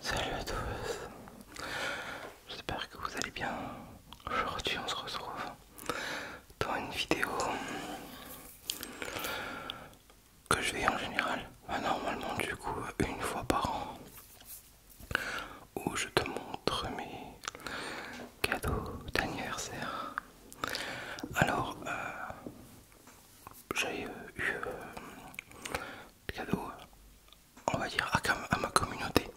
Salut à tous, j'espère que vous allez bien. Aujourd'hui on se retrouve dans une vidéo que je vais en général, bah, normalement du coup une fois par an, où je te montre mes cadeaux d'anniversaire. Alors, euh, j'ai euh, eu euh, des cadeaux, on va dire, à, à ma communauté.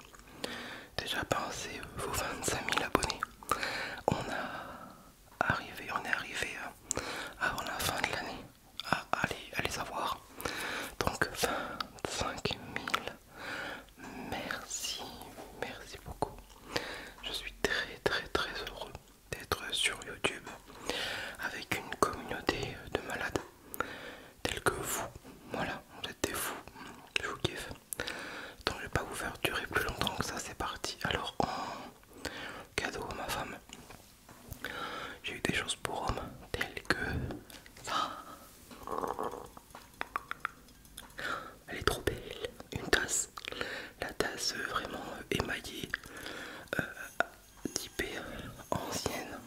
Déjà, pensé vos 25 000 abonnés. On a arrivé, on est arrivé euh, avant la fin de l'année à, aller à les avoir. Donc 25 000. Merci, merci beaucoup. Je suis très très très heureux d'être sur YouTube avec une communauté de malades tels que vous. Voilà, vous êtes des fous. Je vous kiffe. Donc je vais pas vous faire durer plus longtemps que ça, c'est parti. Alors on cadeau à ma femme. J'ai eu des choses pour homme, telles que ça. Elle est trop belle, une tasse. La tasse euh, vraiment euh, émaillée, d'hyper euh, ancienne,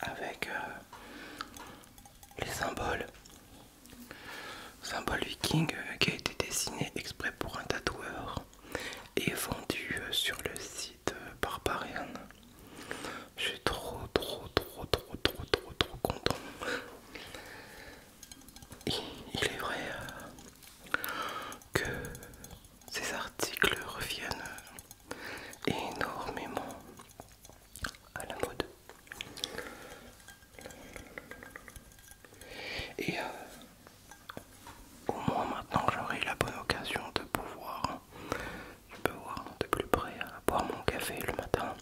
avec les symboles Symbole viking euh, qui a été dessiné exprès pour un tatoueur et vendu euh, sur le site euh, Barbarian. Je suis trop, trop, trop, trop, trop, trop, trop content. il est vrai que ces articles reviennent énormément à la mode. Et euh, au moins maintenant j'aurai la bonne occasion de pouvoir, voir de plus près, euh, boire mon café le matin,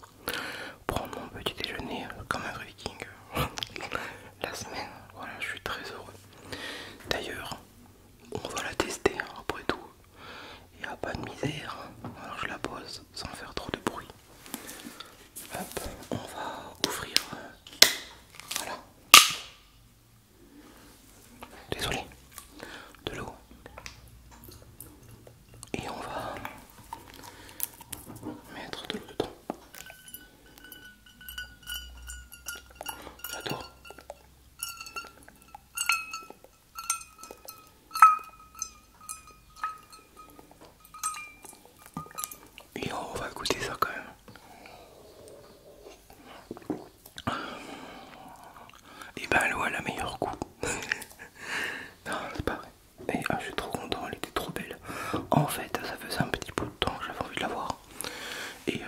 prendre mon petit déjeuner euh, comme un viking la semaine. Voilà, je suis très heureux. D'ailleurs, on va la tester hein, après tout. Et à pas de misère. Hein. je la pose sans faire trop de bruit on va ouvrir. Voilà. Désolé. De l'eau. Et on va mettre de l'eau dedans. J'adore. Et on va goûter ça quand même. Et ben elle a la meilleure coupe. non, c'est pas vrai. Ah, je suis trop content, elle était trop belle. En fait, ça faisait un petit bout de temps que j'avais envie de la voir. Et euh,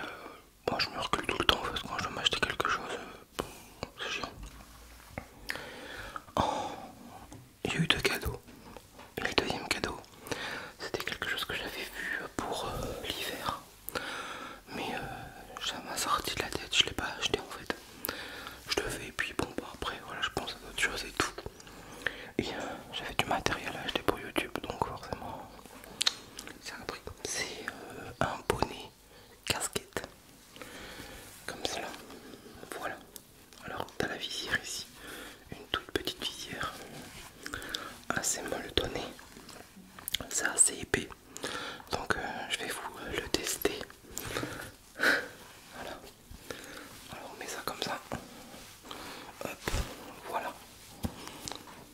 moi je me recule tout le temps parce que quand je veux m'acheter quelque chose, euh, c'est oh, chiant. il y a eu deux cadeaux. Et le deuxième cadeau, c'était quelque chose que j'avais vu pour euh, l'hiver. Mais euh, ça m'a sorti de la tête, je l'ai pas acheté en fait. Je le fais et puis bon bah, après voilà je pense à d'autres choses et tout. Et euh, j'avais du matériel à acheter pour YouTube donc forcément c'est un prix. C'est un bonnet casquette comme cela voilà alors tu as la visière ici une toute petite visière assez molletonnée c'est assez épais donc euh, je vais vous euh, le tester voilà alors on met ça comme ça hop voilà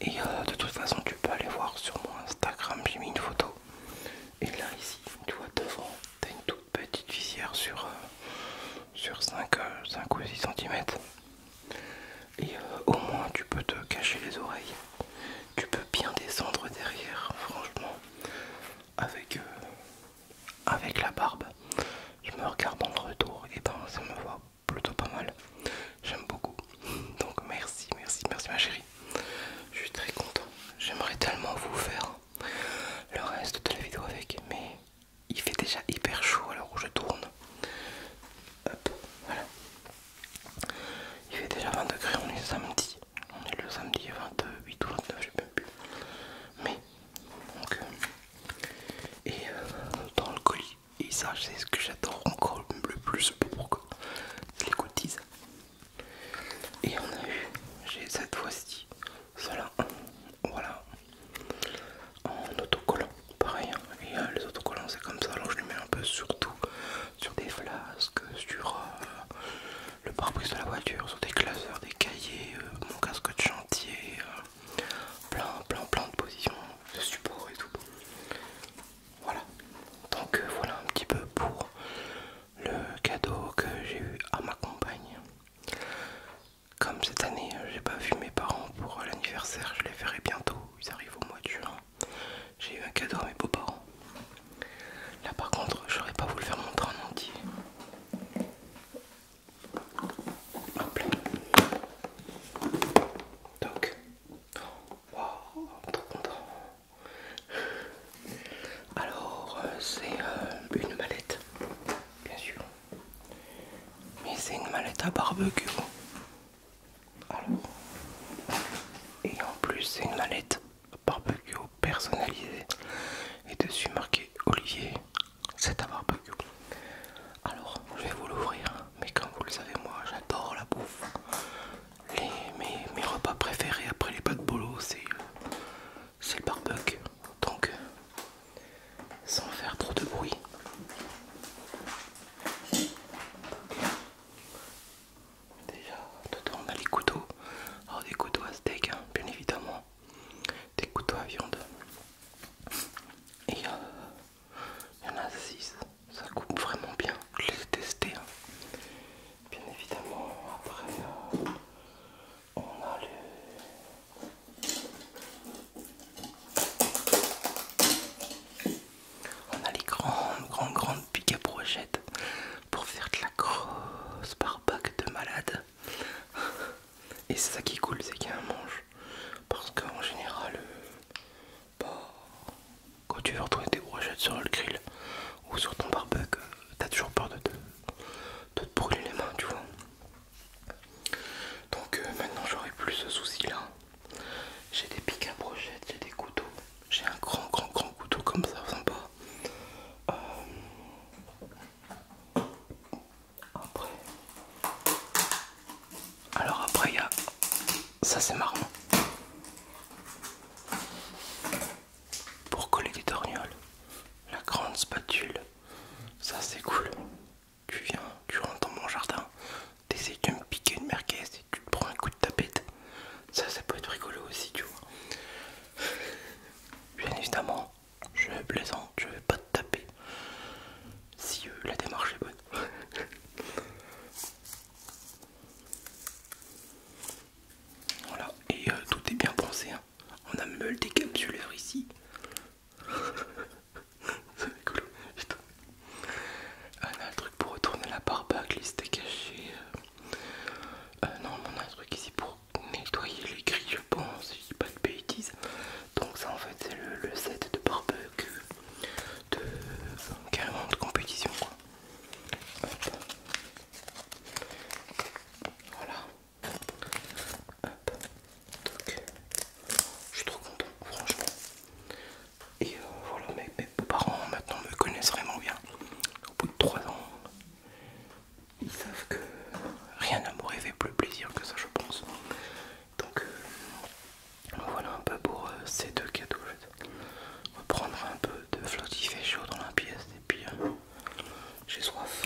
et euh, de toute façon tu peux aller voir sur mon Instagram j'ai mis une photo et là ici, tu vois devant, tu une toute petite visière sur, euh, sur 5, euh, ou 6 cm. Et euh, au moins tu peux te cacher les oreilles. Tu peux bien descendre derrière, franchement, avec, avec la barbe. Je me regarde en retour et ben ça me voit plutôt pas mal. J'aime beaucoup. Donc merci, merci, merci ma chérie. Je suis très content. J'aimerais tellement vous faire le reste de la vidéo avec, mais il fait déjà hyper chaud alors où je tourne. Hop, voilà. Il fait déjà 20 degrés, on est samedi. On est le samedi 28 ou 29, je sais même plus. Mais, donc, euh, et euh, dans le colis, et ça, c'est ce que j'adore encore le plus, pourquoi les goodies. Et on a eu, j'ai cette fois-ci, cela, voilà, en autocollant, pareil. Hein. Euh, les autocollants, c'est comme ça. Alors je les mets un peu sur tout, sur des flasques, sur euh, le pare-brise de la voiture, sur des classeurs, des cahiers, euh, mon casque de chantier, plein, plein, plein de positions de support et tout. Voilà, donc euh, voilà un petit peu pour le cadeau que j'ai eu à ma compagne. Comme cette année, euh, j'ai pas vu mes parents pour l'anniversaire, je les verrai bientôt, ils arrivent au mois de juin. J'ai eu un cadeau à mes beaux-parents. Là par contre, j'aurais pas voulu faire montrer en entier. Hop Donc, alors, euh, c'est euh, une mallette, bien sûr. Mais c'est une mallette à barbecue. Alors, et en plus, c'est une mallette barbecue personnalisée. Et dessus marqué Olivier, c'est à barbecue. Alors, je vais vous l'ouvrir mais comme vous le savez, moi j'adore la bouffe. Les, mes, repas préférés après les de bolo, euh, c'est le barbecue. Donc, euh, sans faire trop de bruit. Déjà, dedans on a les couteaux. des couteaux à steak, hein, bien évidemment. Des couteaux à viande. Et euh, il y en a 6. Ça coupe vraiment bien. Je les ai hein. Bien évidemment, après, euh, on a les... On a les grandes, grandes, grandes piques à brochettes pour faire de la grosse barbac de malade. Et c'est ça qui est cool, c'est qu'il y a un manche. Parce qu'en général, euh, quand tu veux retrouver tes brochettes sur le grill ou sur ton barbecue, euh, t'as toujours peur de te, brûler les mains, tu vois. Donc euh, maintenant j'aurai plus ce souci là. J'ai des piques à brochettes, j'ai des couteaux, j'ai un grand grand grand couteau comme ça, sympa. Euh, après, alors après il y a ça c'est marrant pour coller des torgnoles. La grande spatule, ça c'est cool. Tu viens, tu rentres dans mon jardin, t'essayes de me piquer une merguez et tu te prends un coup de tapette. Ça, ça peut être rigolo aussi, tu vois. Bien évidemment, je vais plaisante, je vais pas te taper si euh, la démarche est bonne. voilà, et euh, tout est bien pensé. Hein. On a même le décapsuleur ici. Ah, on a le truc pour retourner la barbe à steaks cachée. Euh. non, on a un truc ici pour nettoyer les grilles, je pense pas de bêtises. Donc ça en fait c'est le, set de barbecue de euh, carrément de compétition quoi. Voilà. Hop. Donc je suis trop content franchement. Et euh, voilà mes, parents maintenant me connaissent vraiment bien. Au bout de 3 ans, ils savent que rien ne m'aurait fait plus plaisir que ça je pense. Donc euh, voilà un peu pour euh, ces deux cadeaux. On va prendre un peu de flotte, chaud dans la pièce et puis euh, j'ai soif.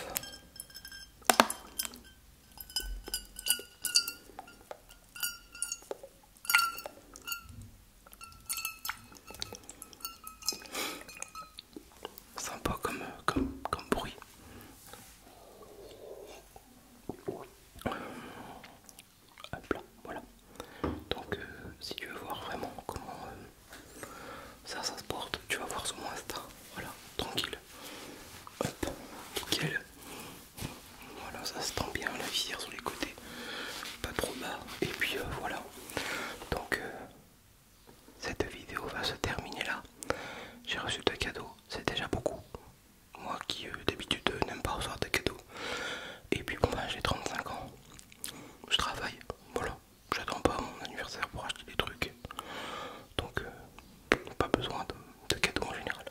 Sympa comme, comme bruit. Hop là, voilà. Donc euh, si tu veux voir vraiment comment euh, ça, ça se porte, tu vas voir sur mon Insta. Voilà, tranquille. Hop, nickel. Voilà, ça se tend bien, la visière sur les côtés, pas trop bas. Et puis euh, voilà. Donc cette vidéo va se terminer là. J'ai reçu deux cadeaux, c'est déjà beaucoup. Moi qui euh, d'habitude euh, n'aime pas recevoir de cadeaux. Et puis bon, ben, j'ai 35 ans, je travaille, voilà. J'attends pas mon anniversaire pour acheter des trucs. Donc, euh, pas besoin de, de cadeaux en général.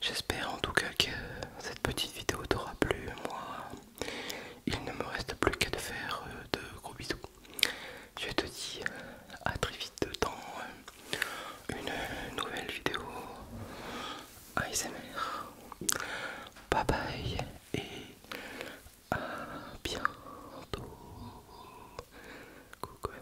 J'espère en tout cas que cette petite vidéo t'aura plu. Moi, il ne me reste plus qu'à te faire de gros bisous. Je te dis à très vite dans une nouvelle vidéo ASMR. Bye bye et à bientôt. Coucou,